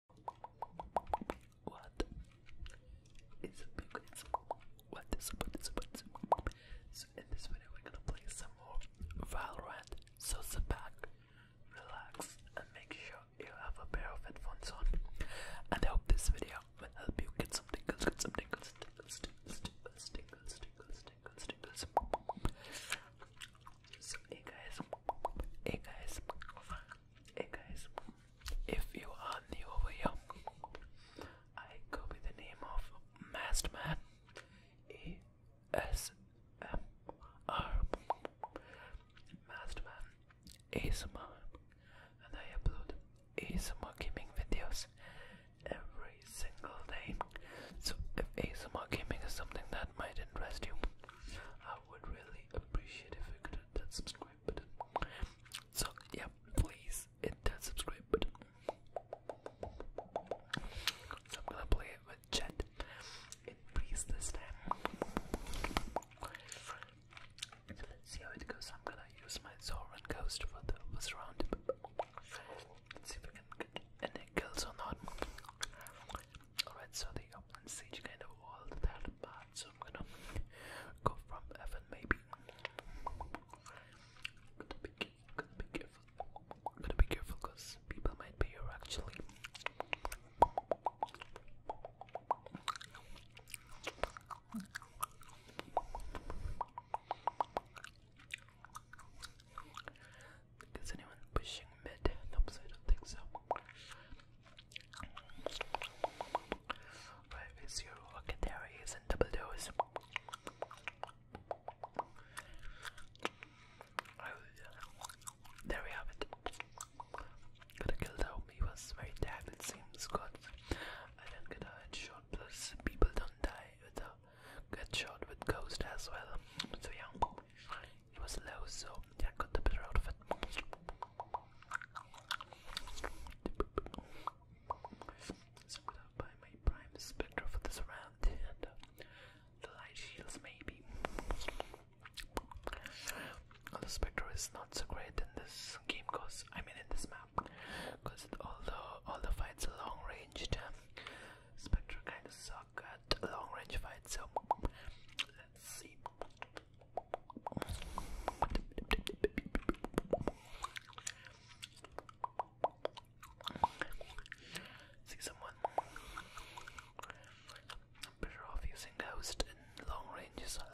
What is up, you guys? What is up? What is up? What is up? So in this video, we're gonna play some more Valorant. So sit back, relax, and make sure you have a pair of headphones on. And I this video will help you get some tingles, get some tingles, tingles, tingles, tingles, tingles, tingles. tingles. So hey guys, hey guys. Hey guys, if you are new over here, I go by the name of Man, Masterman A S M R Man, ASMR, and I upload ASMR gaming videos every single day. So if ASMR gaming is something that might interest you, I would really appreciate if you could hit that subscribe button. So yeah, please hit that subscribe button. I'm gonna play it with Jet in Breeze this time. let's see how it goes. I'm gonna use my Zoran Ghost for the first Let's see if we get any kills or not. Alright, so the upland siege kind of all that bad, so I'm gonna go from heaven maybe. Gotta be careful, gotta be careful. because people might be here actually. Is anyone pushing mid? Nope, I don't think so. Where is your okay? There he in double dose. Oh, there we have it. Gotta kill the homie. was very tagged, it seems. God, I don't get a headshot, plus people don't die with a good with ghost as well. So, yeah, it was low, so yeah, I got the better out of it. So i buy my prime spectra for this round and uh, the light shields maybe. Although spectra is not so great in this game cause I mean in this map because although all the fights are long ranged Spectre kind of suck at long range fights so let's see See someone. I'm better off using Ghost in long range as well.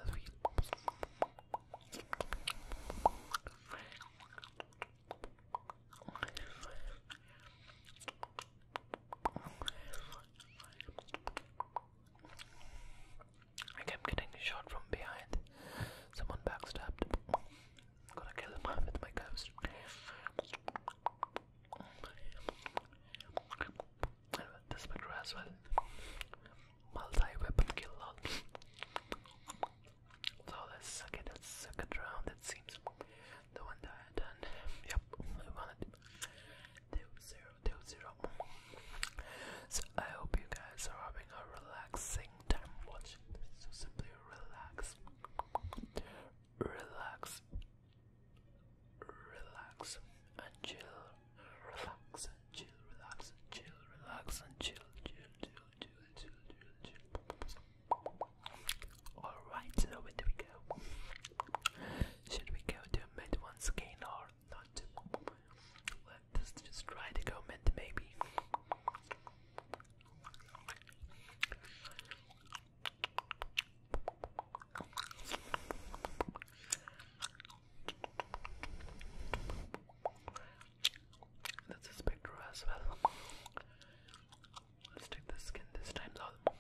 I kept getting shot from behind. Someone backstabbed. Gotta kill him with my ghost. And with this picture as well. Multi weapon kill So let's suck it, let round, it seems. The one that I done. Yep, I won so I hope you guys are having a relaxing time watching this. So simply relax, relax, relax and chill, relax and chill, relax and chill, relax and chill, chill, chill, chill, chill, chill, chill. All right, so away we go. Should we go to mid once again or not? Let's just try to go mid maybe. That's a spectra as well. let the skin this time though.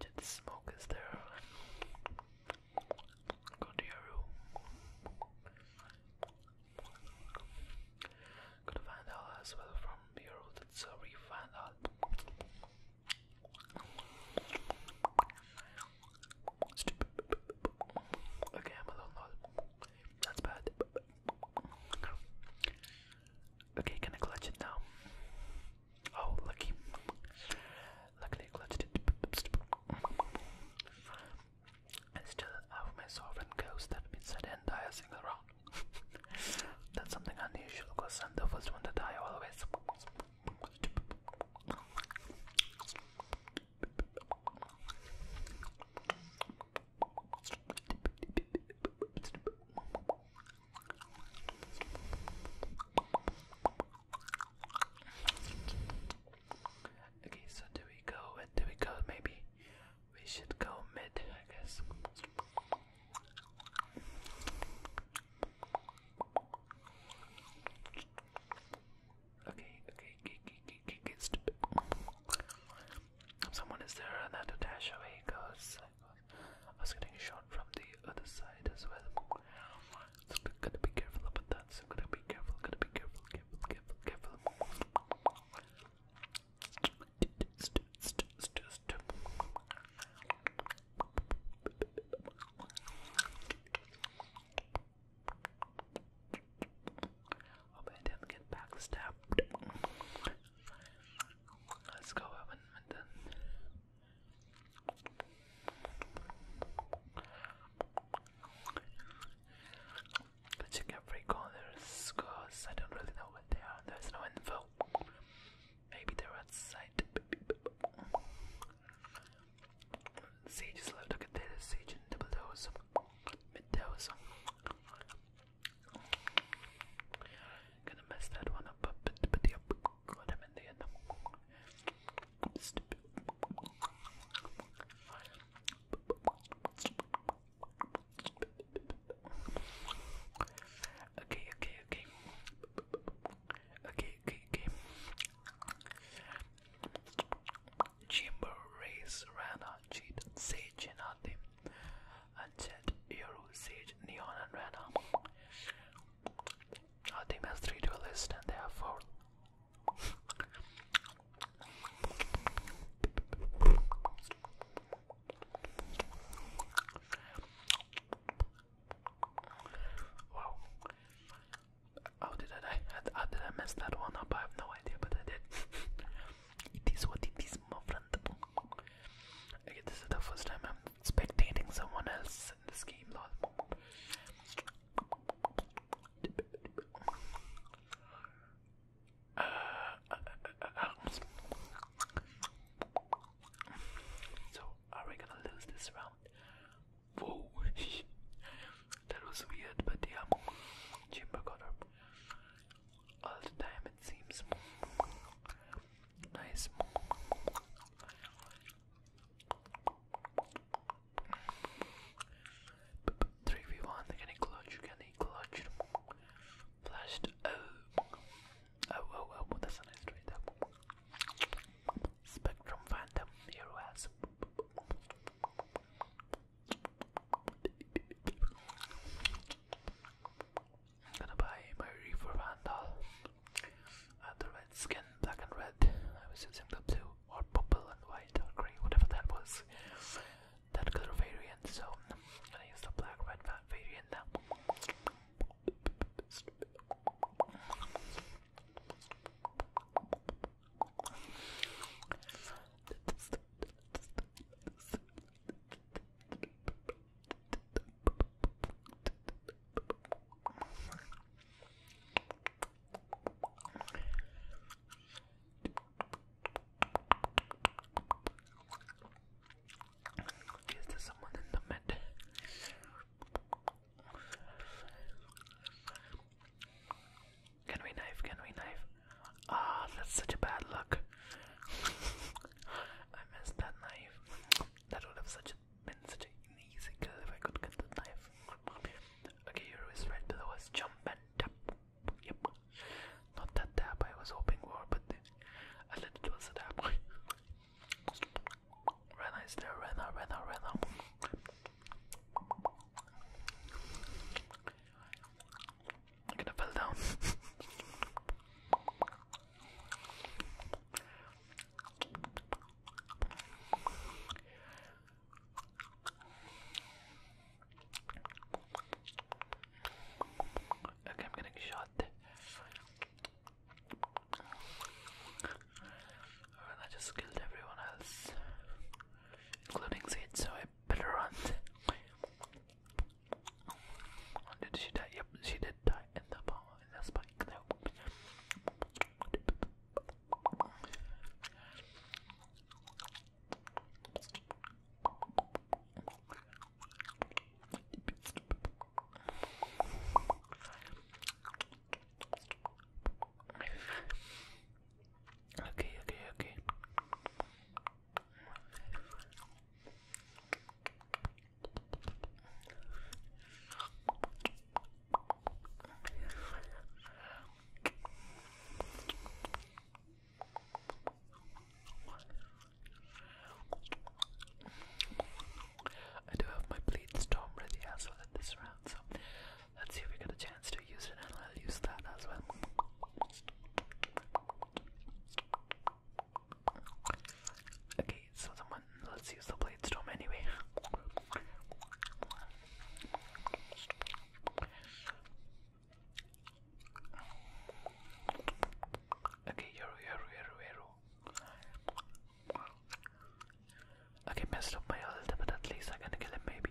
Did smoke is there? Go to your room. Go to Vandal as well from your room. It's a re Vandal. Stupid. Okay, I'm alone. All. That's bad. Okay, can I clutch it now? Oh, lucky. Luckily, I clutched it. And still have my sovereign goes that didn't die a single round. That's something unusual because I'm the first one to die always. Okay, so do we go? Where do we go? Maybe we should go mid, I guess. Okay, okay, okay, okay, okay, okay, stupid. Someone is there, and I had to dash away because I was getting shot from the other side as well. So to be careful about that. So to be careful. Gotta be careful. Careful. Careful. Careful. Hope I didn't get backstabbed. Let's go up and then. Check every corner's cause I don't really know what they are. There's no info. Maybe they're outside. Sieges love to get data siege and double dose. Mid dose. Gonna mess that one up, but but yeah, got him in the end. Stupid. Okay, okay, okay. Okay, okay, okay. Chamber race, Rana, cheat, Sage, and Adim and Jet, Yoru, Sage, Neon, and Rana. Our team has three duelists and they have four. Wow. How did I, I, did I mess that one up? I have no idea, but I did. this is the first time I'm spectating someone else in this game, so, are we gonna lose this round? that was weird, but yeah, Chamber got up all the time it seems nice. Three v one, can he clutch? Can he clutch? Flashed. Oh, oh, oh, oh! That's a nice trade. Spectrum Phantom, here was. I'm gonna buy my Reaper Vandal. Uh, the red skin, black and red. I was using the blue or purple and white or grey, whatever that was. That color variant, so I'm gonna use the black red variant now. Is there someone in the mid? Can we knife? Can we knife? Ah, that's such a bad look. I missed that knife. That would have been such an easy kill if I could get the knife. Okay, your wrist right below us. Jump and tap. Yep. Not that tap I was hoping for, but I let it was a tap. Rena is there. Rena, Rena, Rena. I'm gonna fall down. okay, I'm getting shot. Alright, I just killed everyone else, including Zed, so I better run. Oh, did she die? Yep, she did die in the bomb in the spike Okay, okay, okay. I do have my bleed storm ready as well in this round, so let's see if we get a chance to I'll use that as well. Okay, so the let's use the blade storm anyway. Okay, Yoru, Yoru, Yoru, Yoru. Okay, messed up my ult, but at least I can kill him maybe.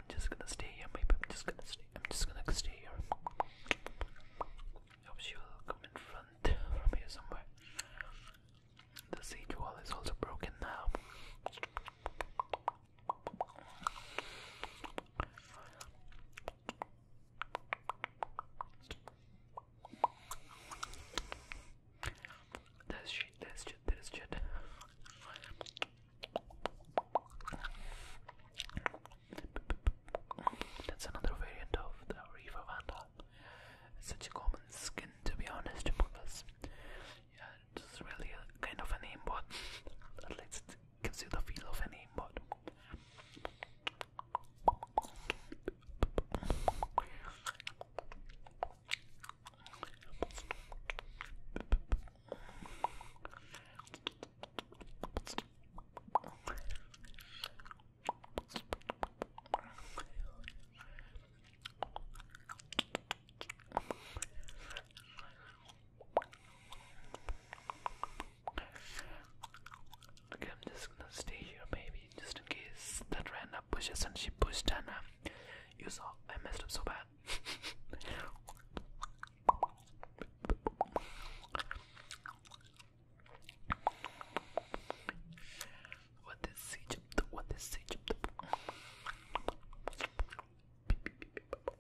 I'm just gonna stay here. Maybe I'm just gonna stay. I'm just gonna stay here. Hope she will come in front from here somewhere. The siege wall is also broken now. There's shit, there's shit, there's shit. That's another variant of the reeva Vanda. It's such a common skin to be honest because yeah, it's really a kind of an aimbot. At least it gives the feel of an aimbot. Okay, I'm just gonna stay here, maybe, just in case that Rihanna pushes and she pushed and uh, you saw I messed up so bad what is Egypt? What is Egypt?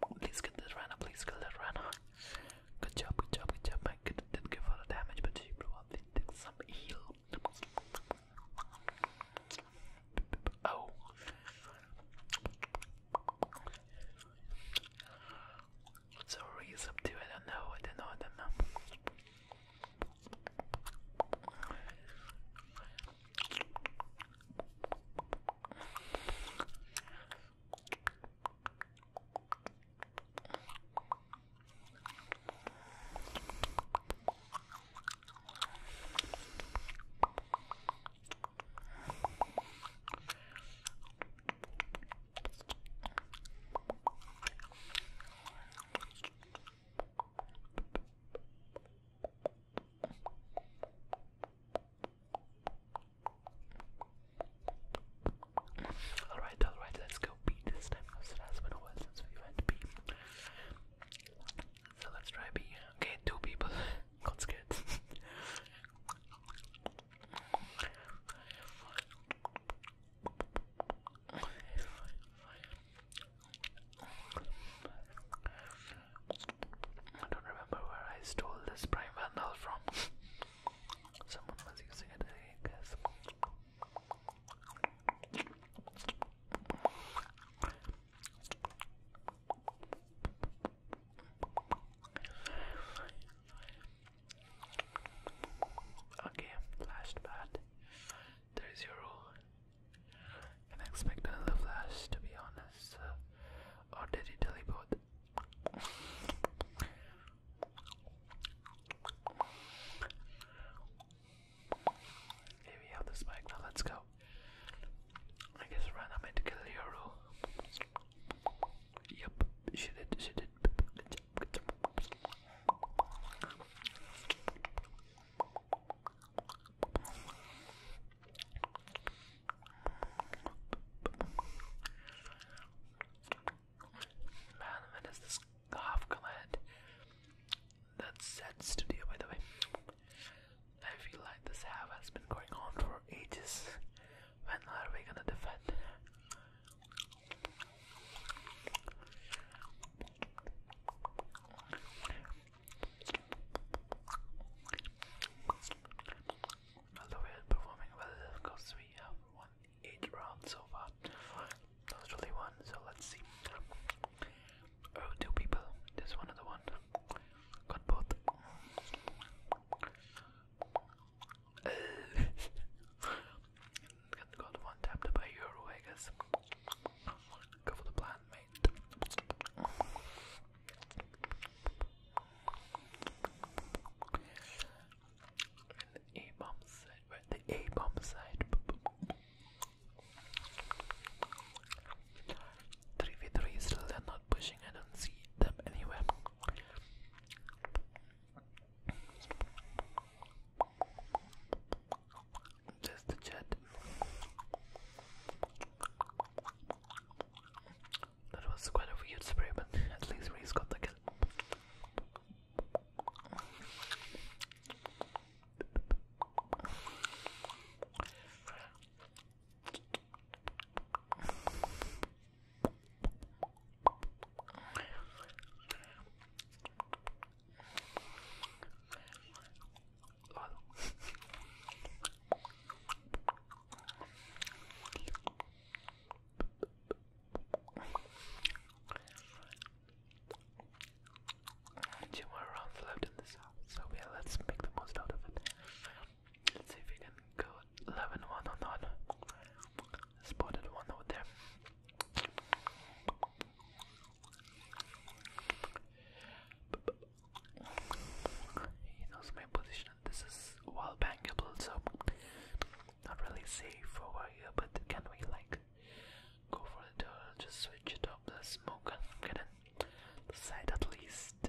Please kill this runner, please kill that runner. Good job, good job, good job. My didn't give her damage, but she probably took some heal. Oh. So Ree's up to I don't know, I don't know, I don't know. Alright, alright, let's go B this time because it has been a while since we went B. So let's try B. Okay, two people. got scared. I don't remember where I stole this Prime Vandal from. Someone was using it, I guess. Okay, flash There is your rule. Can I expect another flash to be honest? or did he teleport? Here we have the spike, now let's go. I guess Rana meant to kill Yep, she did, she did. Man, when is this half command? That's that studio by the way. I feel like this half has been going on for ages. When are we gonna defend? Although we are performing well, of we have won 8 rounds so far. That's only so let's see. Oh, two people. This one and the one. Got both. Got one tapped by Euro, I guess. Go for the plan, mate. And the A bomb side, the A bomb side. 3v3 still they're not pushing, I don't see them anywhere. Just the chat. That was quite a weird spray, at least Reese got the Two more rounds left in this house, so let's make the most out of it. Let's see if we can go 11 1 or not. Spotted one over there. He knows my position. This is wall bangable, so not really safe over here. But can we like go for the Just switch it up the smoke and get in the side at least.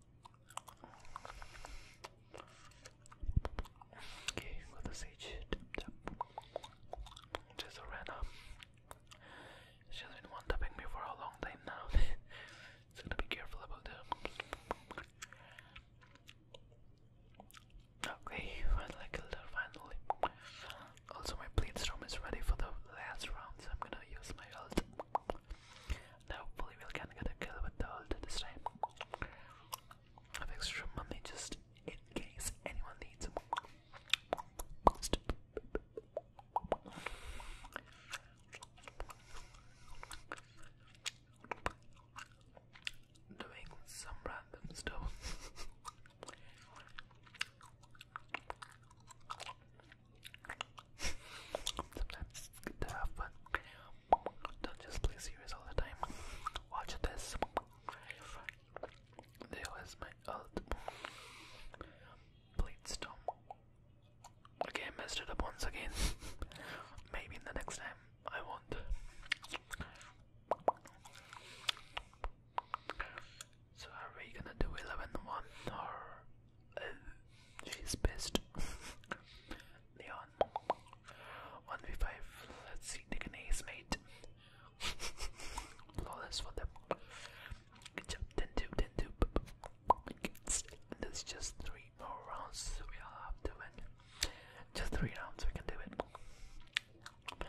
Okay, got the sage. Tap, Just ran up. She's been wanting tapping me for a long time now. gotta be careful about that. Okay, finally killed her. Finally. Also, my plate storm is ready for the last round, so I'm gonna use my ult. Now hopefully we can get a with the ult this time. I have extra money just in case anyone needs them. Doing some random stuff. Sometimes to have fun. Don't just play series all the time. Watch this. There was my ult. Blade storm. Okay, I messed it up once again. Maybe in the next time I won't. So are we gonna do 11-1 or She's best. Leon. 1v5. Let's see. Take an ace, mate. Flawless for them. Good job. 10 2, There's just 3 more rounds we'll have to win. Just 3 rounds, we can do it. I'm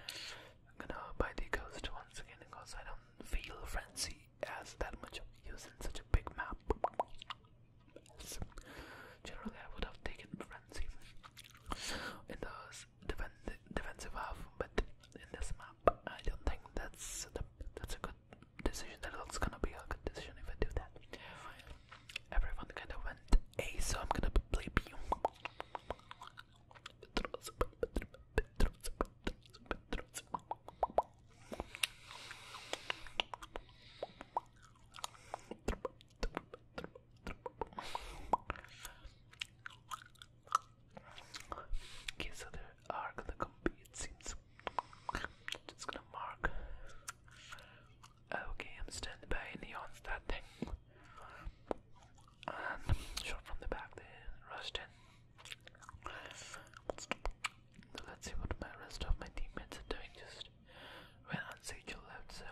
gonna buy the ghost once again because I don't feel frenzy really that much of such a big map. generally, I would have taken Frenzy in the defen defensive half, but in this map, I don't think that's that's a good decision. That looks gonna be a good decision if I do that. Everyone kind of went A, so I'm gonna play B. Okay, so there are gonna compete, it seems. Just gonna mark. Okay, I'm standing by Neon's that thing. And shot from the back, they rushed in. Let's see what my rest of my teammates are doing just when Unsagel left, so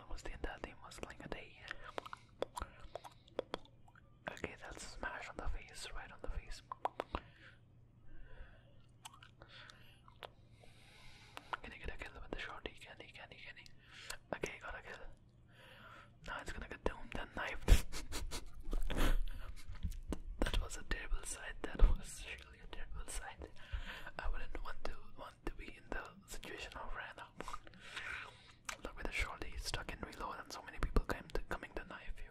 almost the entire team was playing a day. Okay, that's smash on the face, right on the face. Can he get a kill with the shot? can, he can, he can. He. Okay, got a kill. Now it's gonna get doomed and knifed. that was a terrible sight. That was really a terrible sight. I wouldn't want to want to be in the situation of right now. Look with the shoulder he's stuck in reload and so many people came to coming to knife you.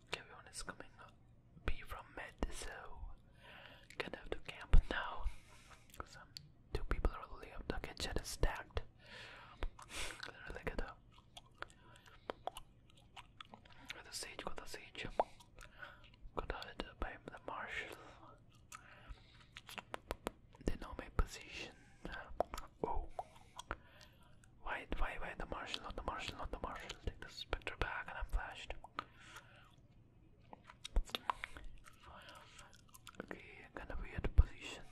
Kevin is coming be from Med, gonna have to camp now. Cause two people are only up. The kitchen is stacked. really good. With the siege, got the siege. Got hit by the marshal. They know my position. Oh, why, why, why the marshal? Not the marshal, not the marshal. Take the spectre back, and I'm flashed. Okay, kind of weird position.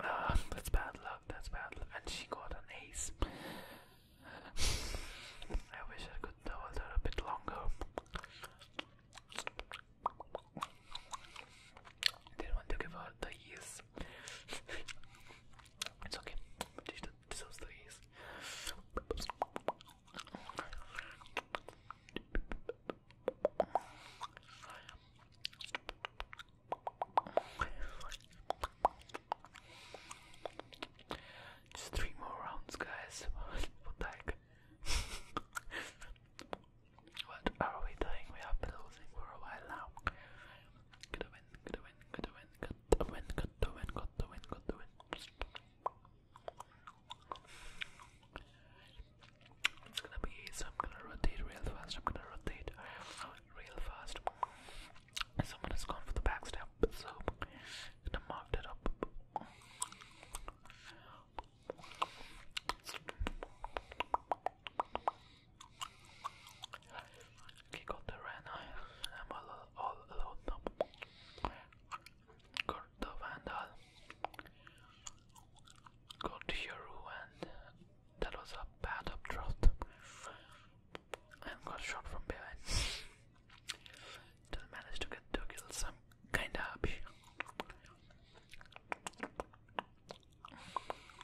Ah, uh, that's bad luck. That's bad luck. And she got an ace. I wish I could double her a bit longer. Didn't want to give her the yes. it's okay. She deserves the yes. Just three more rounds, guys. what the What are we doing? We have been losing for a while now. Good win, good win, good win, good win, good win, good win, good win. It's gonna be easy. I'm gonna rotate real fast. I'm gonna rotate real fast. Someone has gone for the backstab, so gonna mark that up. Kick out the Rana. I'm all, all alone now. Got the Vandal. Got Hero and that was a bad updraft. And got shot from behind. Still managed to get two kills. I'm kinda happy.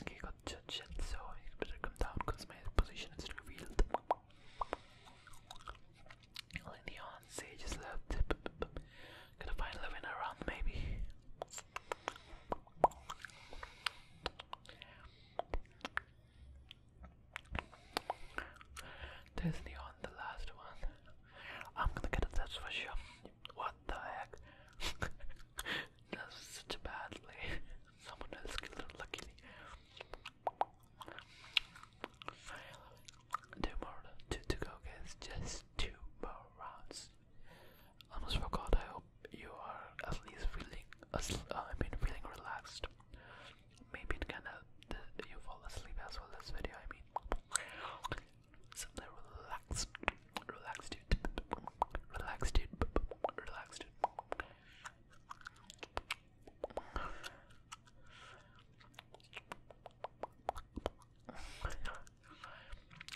Okay, got judge so you better come down because my position is revealed. Leon Sage is left. Gonna find living around maybe. Disney on the last one. I'm gonna get it, that's for sure. What the heck? that's such badly. Someone else killed it Two more to, to go guys, just two more rounds least. Honest for I hope you are at least feeling, uh, I mean, feeling relaxed. Maybe it can help you fall asleep as well. This video, I mean, something relaxed, relaxed, dude, relaxed, dude, relaxed, dude.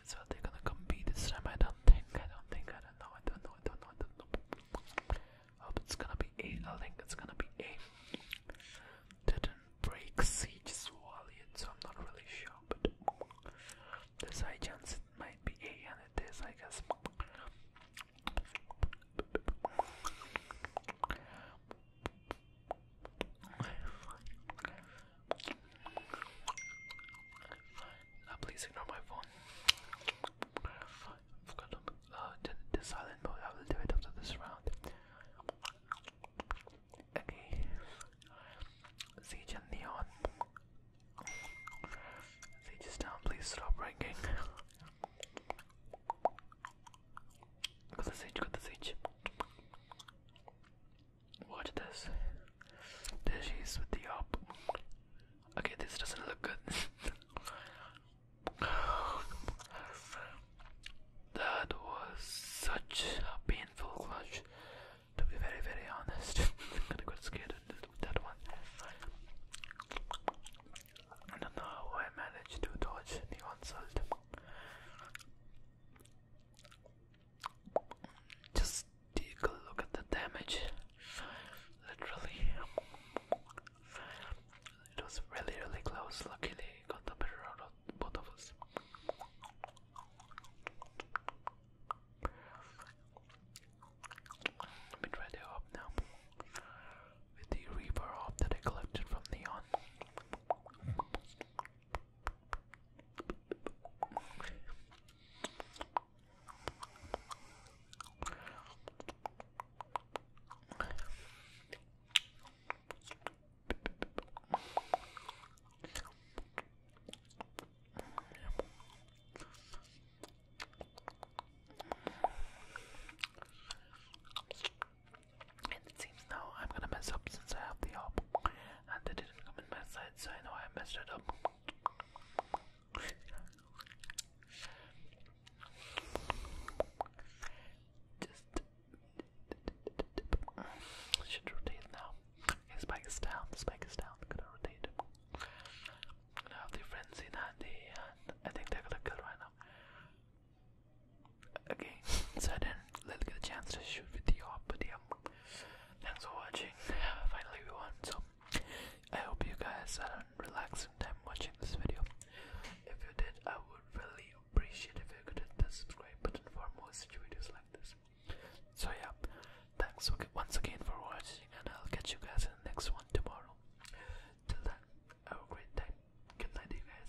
So they're gonna compete this time. I don't think. I don't think. I don't know. I don't know. I don't know. I don't know. Hope oh, it's gonna be A. I think it's gonna be A. Didn't break siege swallow yet, so I'm not really sure. But there's high chance it might be A, and it is, I guess. Uh, please ignore my phone. I've got uh, the, the silent mode. I will do it after this round. Okay. Siege and Neon. Siege is down. Please stop ranking. Got the siege. Got the siege. Watch this. There she is with the op. Okay, this doesn't look good. that was such a painful clutch. To be very, very honest, I am got scared with that one. I don't know how I managed to dodge the onslaught. Just take a look at the damage. Literally, it was really, really close. Luckily, got the better out of both of us. Let me try the up now with the Reaper op that I collected from Neon. And it seems now. I'm gonna mess up since I have the op. And they didn't come in my side, so I know I messed it up. Just. should rotate now. Okay, spike is down, spike is down. Gonna rotate. gonna have the frenzy handy, and I think they're gonna kill right now. Okay, so I didn't get a chance to shoot with the AWP, but the Thanks for watching. Finally, we So, I hope you guys had a relaxing time watching this video. If you did, I would really appreciate if you could hit the subscribe button for more such videos like this. So yeah, thanks once again for watching, and I'll catch you guys in the next one tomorrow. Till then, have a great time. Good night, you guys.